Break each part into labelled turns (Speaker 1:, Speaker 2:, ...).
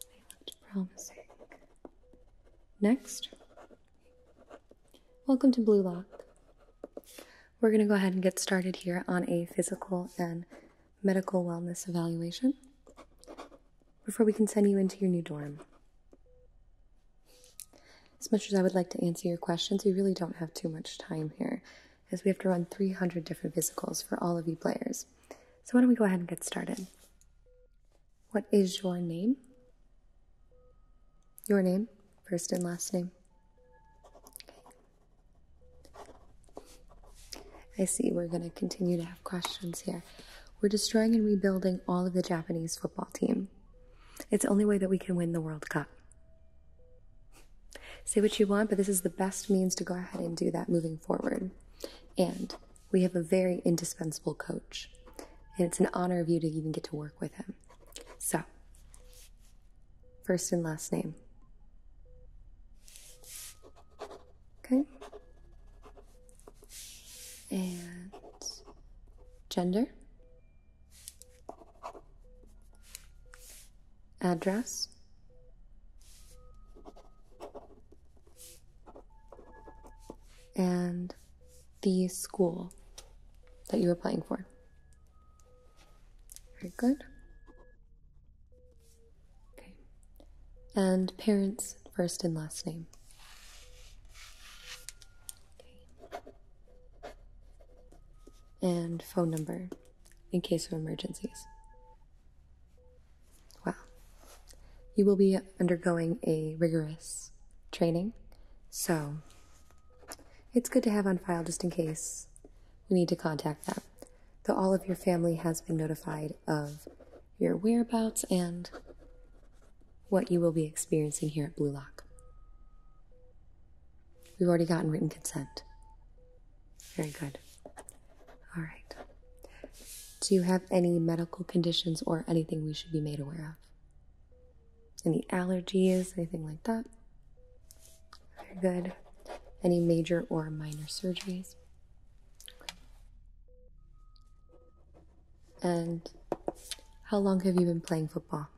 Speaker 1: They looked promising. Next, welcome to Blue Lock. We're going to go ahead and get started here on a physical and medical wellness evaluation before we can send you into your new dorm. As much as I would like to answer your questions, we really don't have too much time here, as we have to run 300 different physicals for all of you players. So why don't we go ahead and get started? What is your name? Your name, first and last name. Okay. I see we're going to continue to have questions here. We're destroying and rebuilding all of the Japanese football team. It's the only way that we can win the World Cup. Say what you want, but this is the best means to go ahead and do that moving forward. And we have a very indispensable coach. And it's an honor of you to even get to work with him. So, first and last name. Okay? and gender, address, and the school that you are applying for. Very good. Okay. And parents' first and last name. And phone number in case of emergencies. Well, You will be undergoing a rigorous training, so it's good to have on file just in case we need to contact them. Though all of your family has been notified of your whereabouts, and what you will be experiencing here at Blue Lock. We've already gotten written consent. Very good. All right. Do you have any medical conditions or anything we should be made aware of? Any allergies, anything like that? Very good. Any major or minor surgeries? And how long have you been playing football?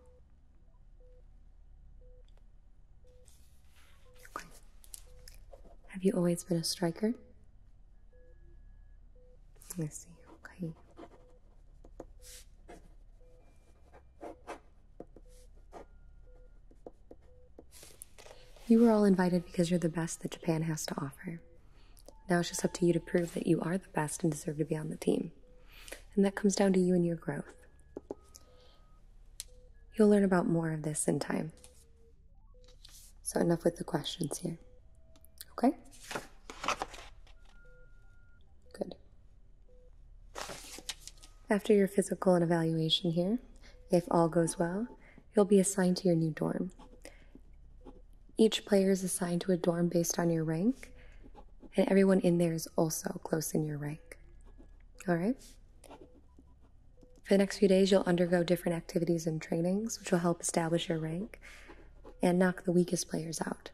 Speaker 1: Have you always been a striker? I see, okay. You were all invited because you're the best that Japan has to offer. Now it's just up to you to prove that you are the best and deserve to be on the team. And that comes down to you and your growth. You'll learn about more of this in time. So, enough with the questions here. Okay? Good. After your physical and evaluation here, if all goes well, you'll be assigned to your new dorm. Each player is assigned to a dorm based on your rank, and everyone in there is also close in your rank. All right? For the next few days, you'll undergo different activities and trainings, which will help establish your rank and knock the weakest players out.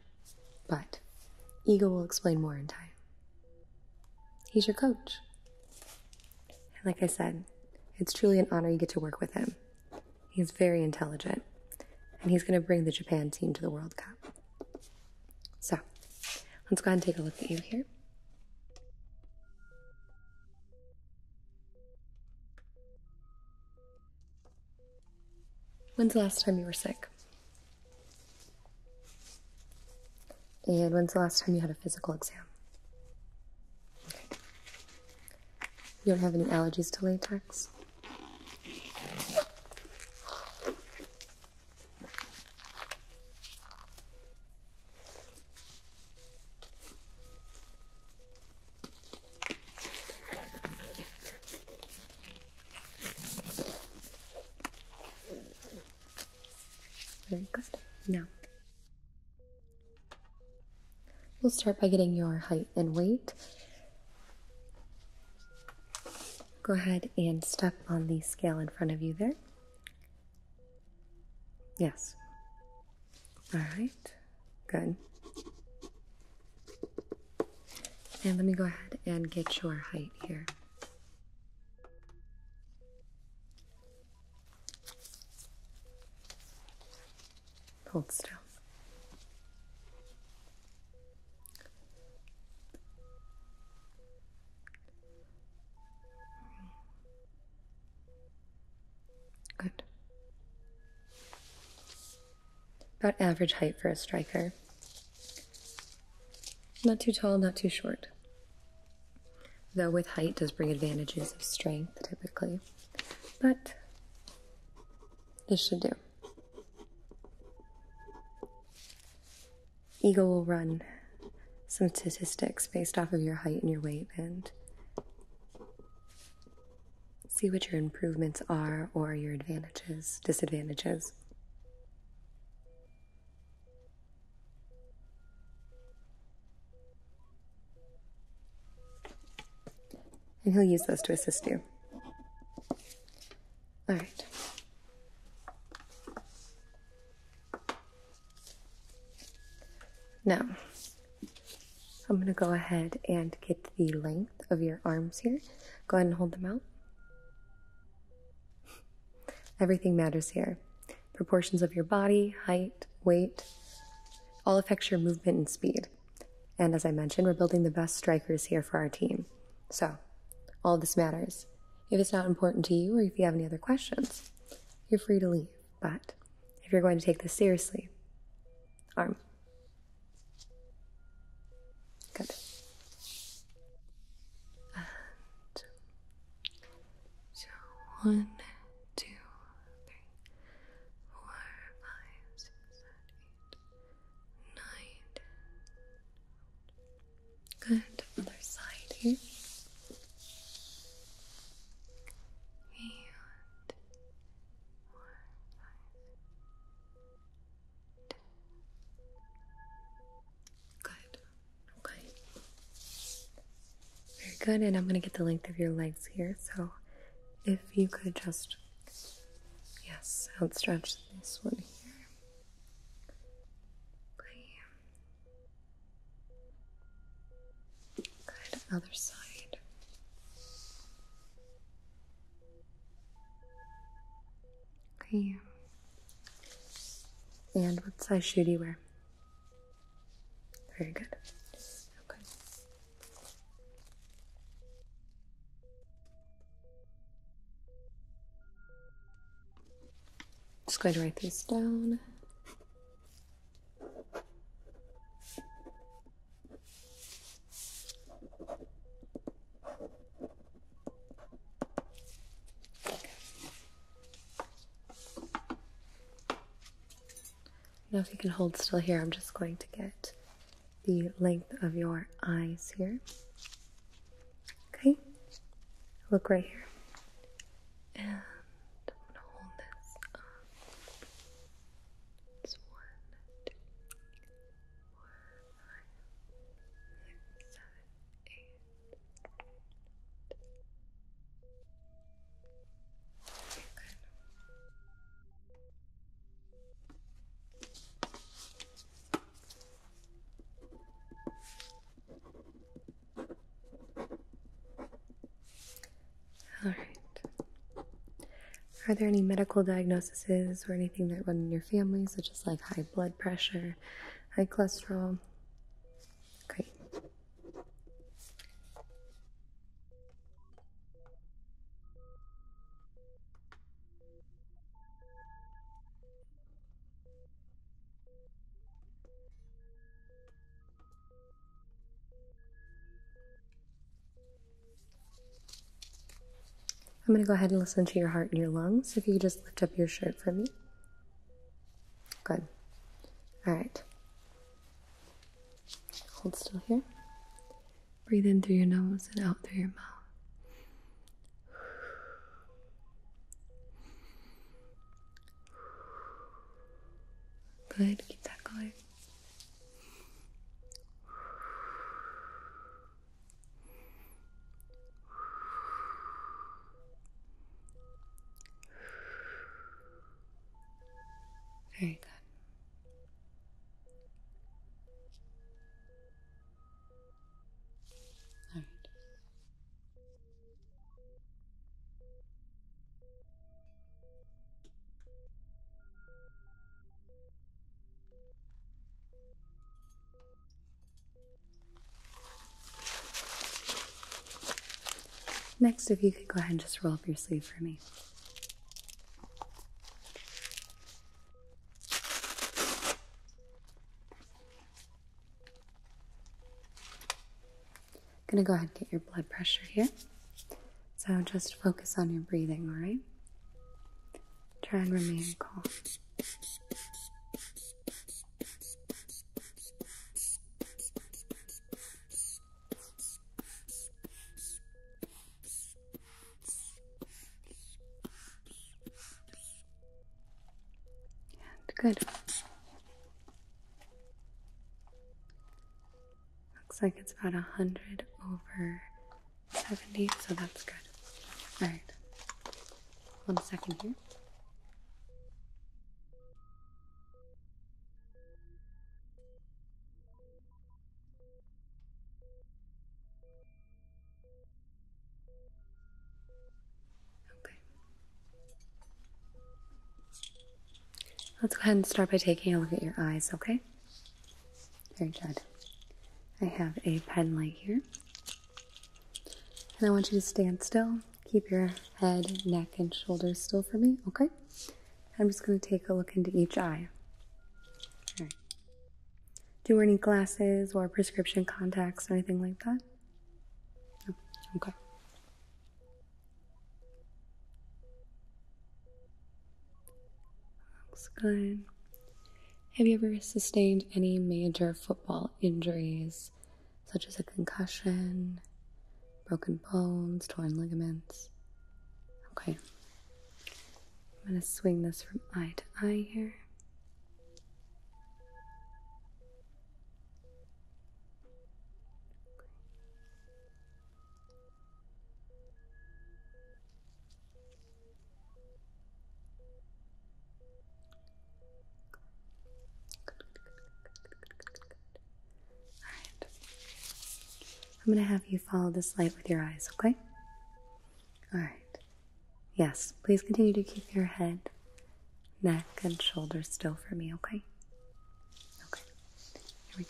Speaker 1: But Ego will explain more in time. He's your coach. like I said, it's truly an honor you get to work with him. He's very intelligent, and he's going to bring the Japan team to the World Cup. So, let's go ahead and take a look at you here. When's the last time you were sick? And when's the last time you had a physical exam? You don't have any allergies to latex? Very good. Now, We'll start by getting your height and weight. Go ahead and step on the scale in front of you there. Yes. All right. Good. And let me go ahead and get your height here. Hold still. Good. About average height for a striker. Not too tall, not too short. Though with height does bring advantages of strength typically. But this should do. Eagle will run some statistics based off of your height and your weight and see what your improvements are or your advantages, disadvantages. And he'll use those to assist you. All right. Now, I'm going to go ahead and get the length of your arms here. Go ahead and hold them out. Everything matters here. Proportions of your body, height, weight, all affects your movement and speed. And as I mentioned, we're building the best strikers here for our team. So, all this matters. If it's not important to you or if you have any other questions, you're free to leave. But if you're going to take this seriously, arm. Good.
Speaker 2: one, two, three four, five, six,
Speaker 1: seven, eight, nine, ten. Good. Other side here. And four, uh, Good. Very good. And I'm going to get the length of your legs here. So if you could just, yes, outstretch this one here. Good, other side. Okay. And what size shoe do you wear? Very good. Okay. Just going to write this down. Now, if you can hold still here, I'm just going to get the length of your eyes here. Okay, look right here. And I'm going to hold this up. All right. Are there any medical diagnoses or anything that run in your family, such as like high blood pressure, high cholesterol? Great. I'm going to go ahead and listen to your heart and your lungs. If you could just lift up your shirt for me. Good. All right. Hold still here. Breathe in through your nose and out through your mouth.
Speaker 2: Good, keep that going. Very good.
Speaker 1: Next, if you could go ahead and just roll up your sleeve for me. I'm going to go ahead and get your blood pressure here. So just focus on your breathing, all right? Try and remain calm good. Looks like it's about a hundred over seventy, so that's good. All right. One second here. Okay. Let's go ahead and start by taking a look at your eyes, okay? Very good. I have a pen light here. And I want you to stand still. Keep your head, neck, and shoulders still for me, okay? I'm just going to take a look into each eye. Do you wear any glasses or prescription contacts or anything like that? No. Okay. Looks good. Have you ever sustained any major football injuries, such as a concussion, broken bones, torn ligaments. Okay. I'm going to swing this from eye to eye here. Alright. I'm going to have you follow this light with your eyes, okay? Alright. Yes, please continue to keep your head, neck, and shoulders still for
Speaker 2: me, okay? Okay. Here we go.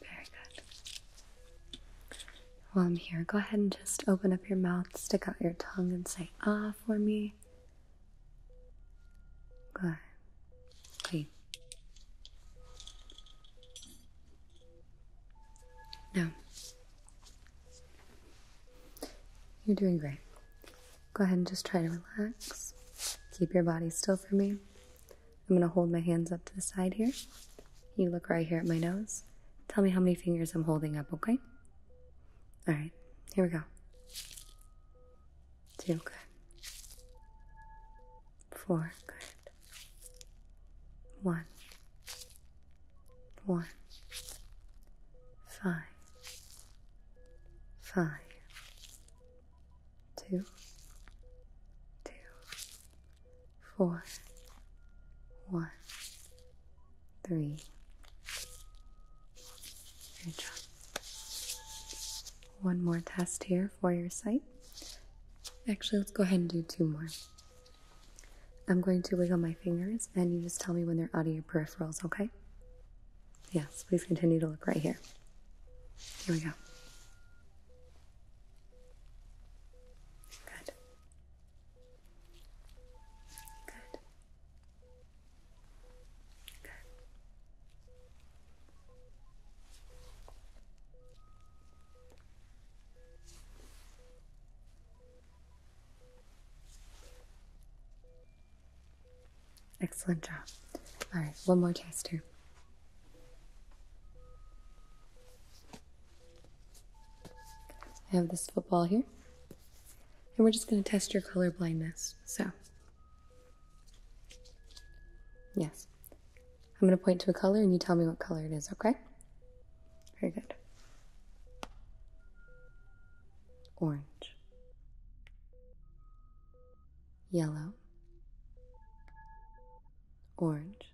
Speaker 1: Very good. While I'm here, go ahead and just open up your mouth, stick out your tongue, and say ah for me. Good. Okay. Now, you're doing great. Go ahead and just try to relax. Keep your body still for me. I'm going to hold my hands up to the side here. You look right here at my nose. Tell me how many fingers I'm holding up, okay? All right, here we go. Two, good. Four, good. One. One. Five five, two, two, four, one, three. Good One more test here for your sight. Actually, let's go ahead and do two more. I'm going to wiggle my fingers and you just tell me when they're out of your peripherals, okay? Yes, please continue to look right here. Here we go. Good. Good. Good. Excellent job. All right, one more test here. I have this football here. And we're just going to test your color blindness. So, yes. I'm going to point to a color and you tell me what color it is, okay? Very good orange, yellow, orange,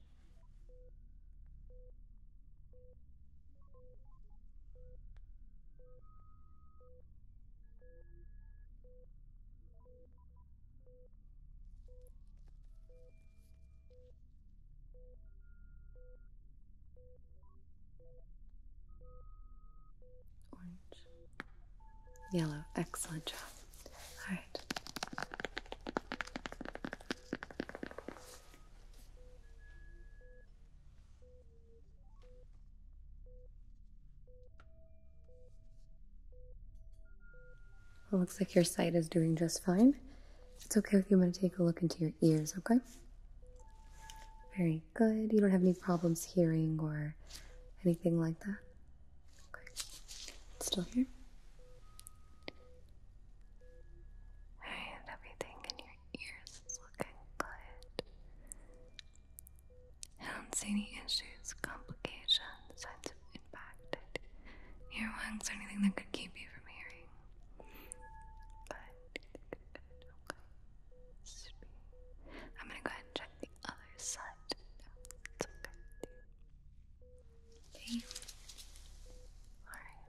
Speaker 1: Orange. Yellow. Excellent job. All right. Well, looks like your sight is doing just fine. it's okay with you, I'm going to take a look into your ears, okay? Very good. You don't have any problems hearing or anything like that? still here? And everything
Speaker 2: in your ears is looking good. I don't see any issues, complications, signs of impacted earwax or anything that could keep you from hearing. Okay. I'm gonna go ahead and check the other side. it's okay. Okay. Alright.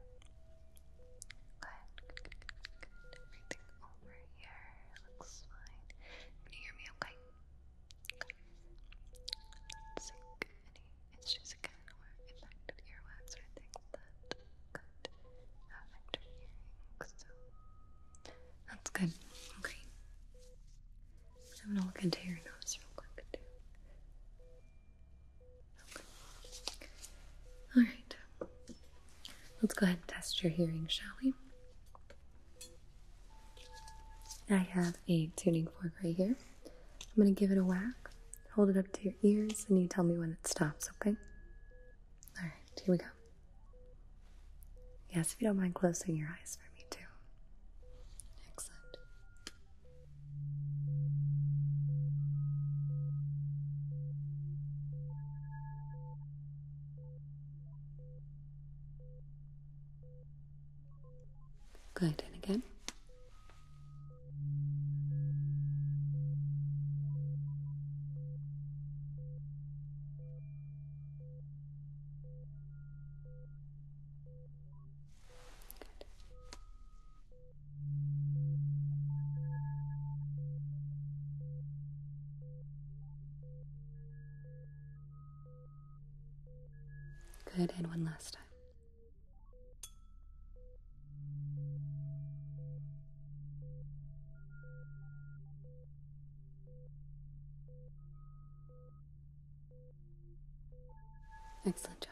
Speaker 2: Good. Good, Everything over here looks fine. Can you hear me okay?
Speaker 1: Okay. see any issues again or infected earwax or anything like that that's good. Okay. I'm gonna look into your nose real quick Alright. Let's go ahead and test your hearing, shall we? I have a tuning fork right here. I'm gonna give it a whack, hold it up to your ears, and you tell me when it stops, okay? All right, here we go. Yes, if you don't mind closing your eyes for me, too. Excellent. Good, and again. Good, and one last time. Excellent job.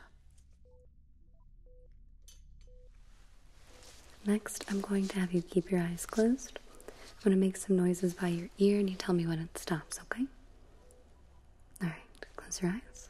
Speaker 1: Next, I'm going to have you keep your eyes closed. I'm going to make some noises by your ear and you tell me when it stops, okay? All right, close your eyes.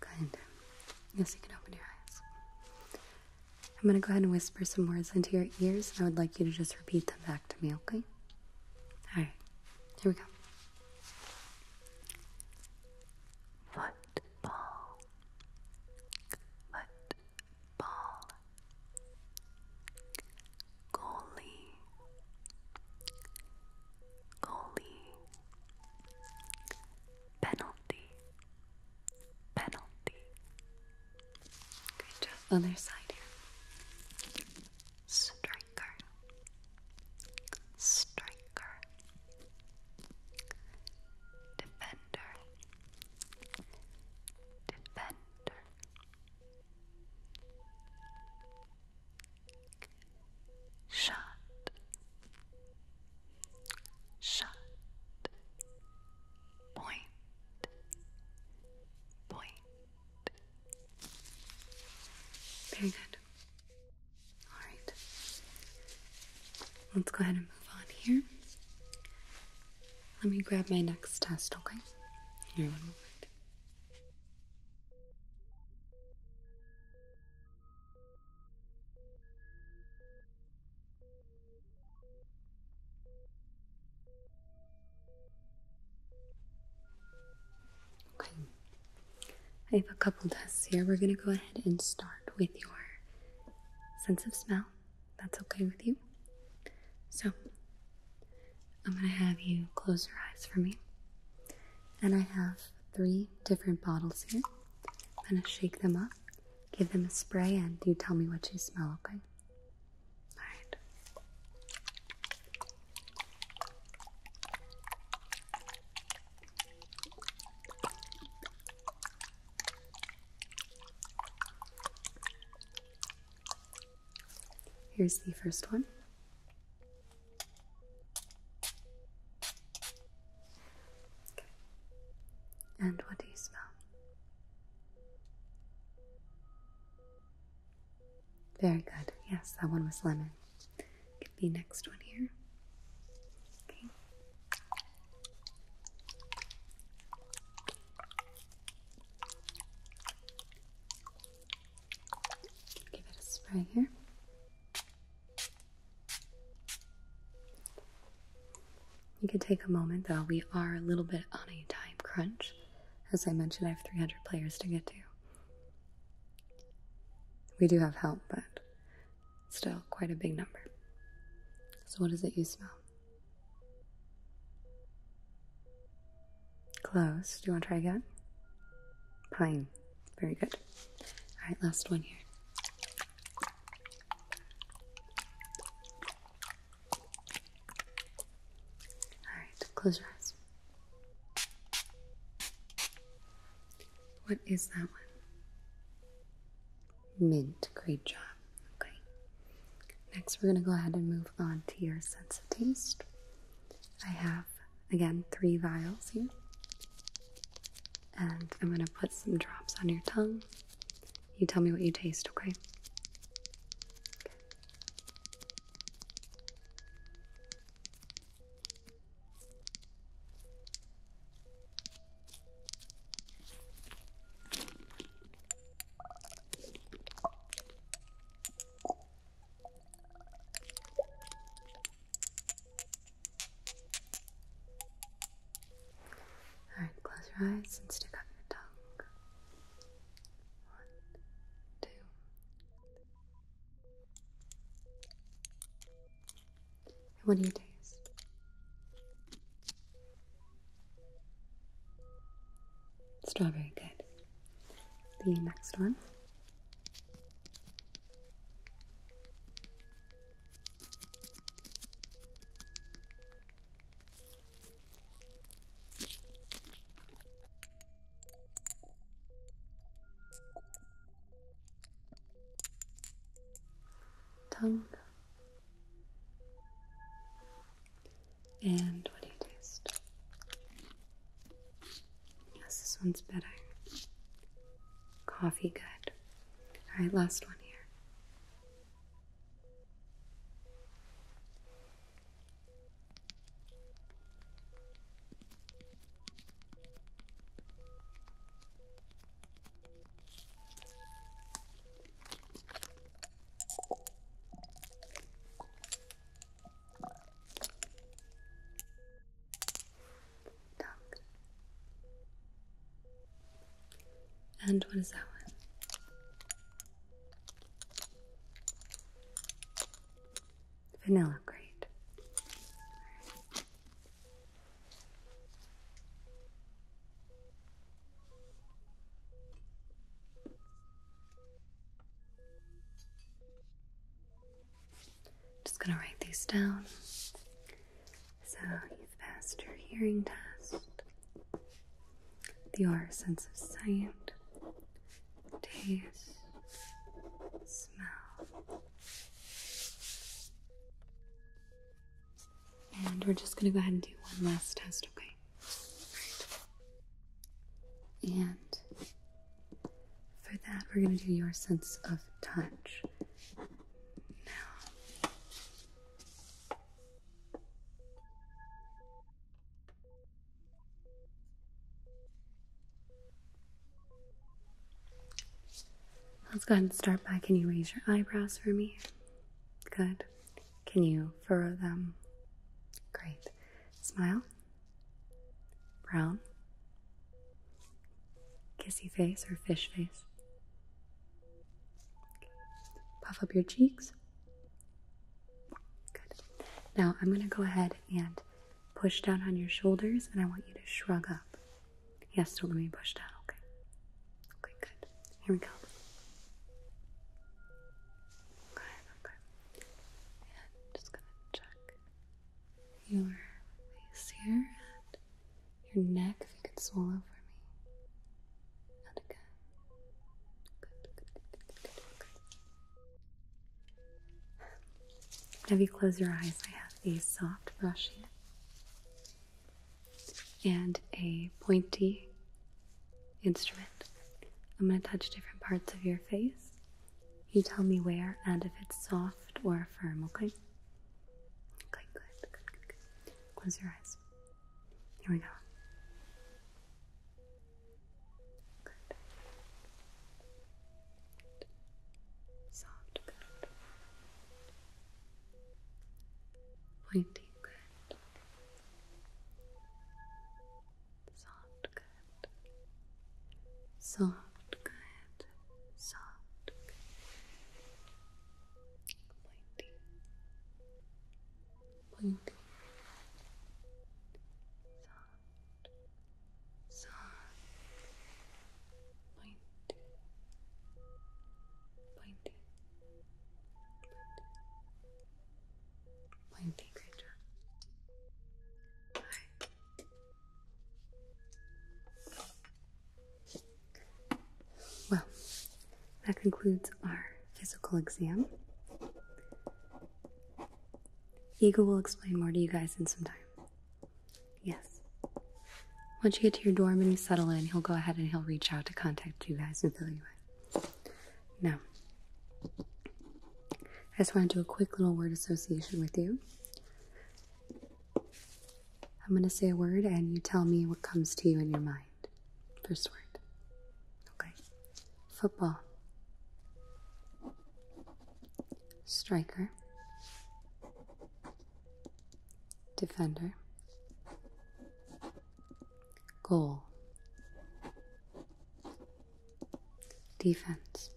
Speaker 1: Good. Yes, you can open your eyes. I'm going to go ahead and whisper some words into your ears, and I would like you to just repeat them back to me, okay? Hi. here we go. Football. Football. Goalie. Goalie penalty, penalty. Great Other side here. Striker,
Speaker 2: striker. Defender, defender. Shot. shut, point, point. Very good. Alright.
Speaker 1: Let's go ahead and move on here. Let me grab my next test, okay? Here, one moment. Okay, I have a couple tests here. We're going to go ahead and start with your sense of smell. That's okay with you. So, I'm going to have you close your eyes for me. And I have three different bottles here. I'm gonna shake them up, give them a spray, and you tell me what you smell, okay? Alright. Here's the first one.
Speaker 2: And what do you smell?
Speaker 1: Very good. Yes, that one was lemon. Get the next one here. Give it a spray here. You can take a moment though. We are a little bit on a time crunch. As I mentioned, I have 300 players to get to. We do have help, but still quite a big number. So, what is it you smell? Clothes. Do you want to try again? Pine. Very good. All right, last one here. All right, close your eyes. What is that one? Mint. Great job. Okay. Next, we're going to go ahead and move on to your sense of taste. I have Again, three vials here. And I'm going to put some drops on your tongue. You tell me what you taste, okay?
Speaker 2: Alright, close your eyes and stick out your tongue. One, two.
Speaker 1: And what do you taste? Strawberry, good. The next one.
Speaker 2: Tongue and what do you taste?
Speaker 1: Yes, this one's better. Coffee, good. All right, last one here. And what is that one? Vanilla, great just gonna write these down. So you've passed your hearing test. Your sense of sight, taste, smell. And we're just gonna go ahead and do one last test, okay? And for that, we're going to do your sense of touch. Now, let's go ahead and start by can you raise your eyebrows for me? Good. Can you furrow them? Great. Smile. Brown. Kissy face or fish face? Puff up your cheeks. Good. Now I'm going to go ahead and push down on your shoulders and I want you to shrug up. Yes, do let me push down, okay? Okay, good. Here we go. Okay, okay. just going to check your face here and your neck if you can swallow for me. And again. Good, good, good, good, good, good. Have you closed your eyes? I have a soft brush here and a pointy instrument. I'm going to touch different parts of your face you tell me where and if it's soft or firm, okay? Okay, good, good, good, good. Close your eyes. Here we go. Soft, good.
Speaker 2: Pointy, good. Soft, good. Soft, good and soft, pointy, pointy, soft, soft, pointy, pointy, pointy, pointy. Great
Speaker 1: well, that concludes our physical exam. Eagle will explain more to you guys in some time. Yes. Once you get to your dorm and you settle in, he'll go ahead and he'll reach out to contact you guys and fill you in. Now, I just want to do a quick little word association with you. I'm going to say a word and you tell me what comes to you in your mind. First word. Okay. Football. Striker. Defender. Goal. Defense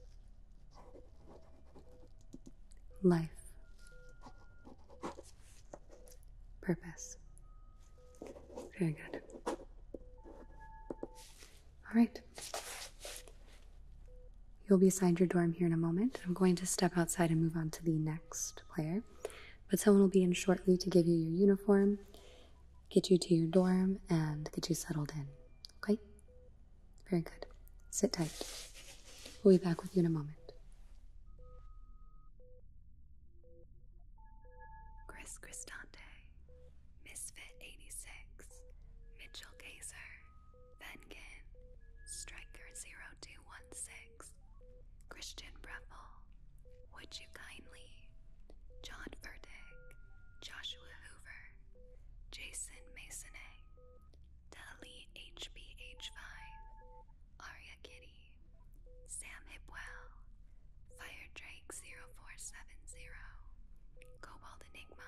Speaker 1: life, purpose. Very good. All right. You'll be assigned your dorm here in a moment. I'm going to step outside and move on to the next player. But someone will be in shortly to give you your uniform, get you to your dorm, and get you settled in. Okay? Very good. Sit tight. We'll be back with you in a moment.
Speaker 2: Chris Cristante, Misfit86, Mitchell Gazer, Venkin, Striker0216, Christian Breffel, Would You Kindly, John Verdick, Joshua Hoover, Jason Masonet, Dali HPH5, Aria Kitty, Sam Hipwell, Fire Drake 0470, Cobalt Enigma,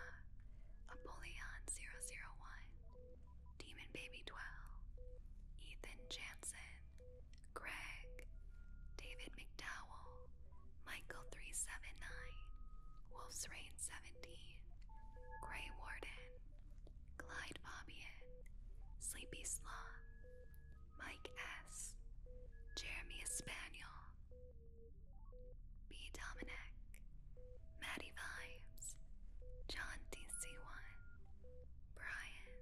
Speaker 2: Apollyon 001, Demon Baby 12, Ethan Jansen, Greg, David McDowell, Michael 379, Wolf's Reign 7, 70, Grey Warden, Clyde Fabian, Sleepy Sloth, Mike S., Jeremy Espaniel, B. Dominic, Maddie Vibes, John DC1, Brian.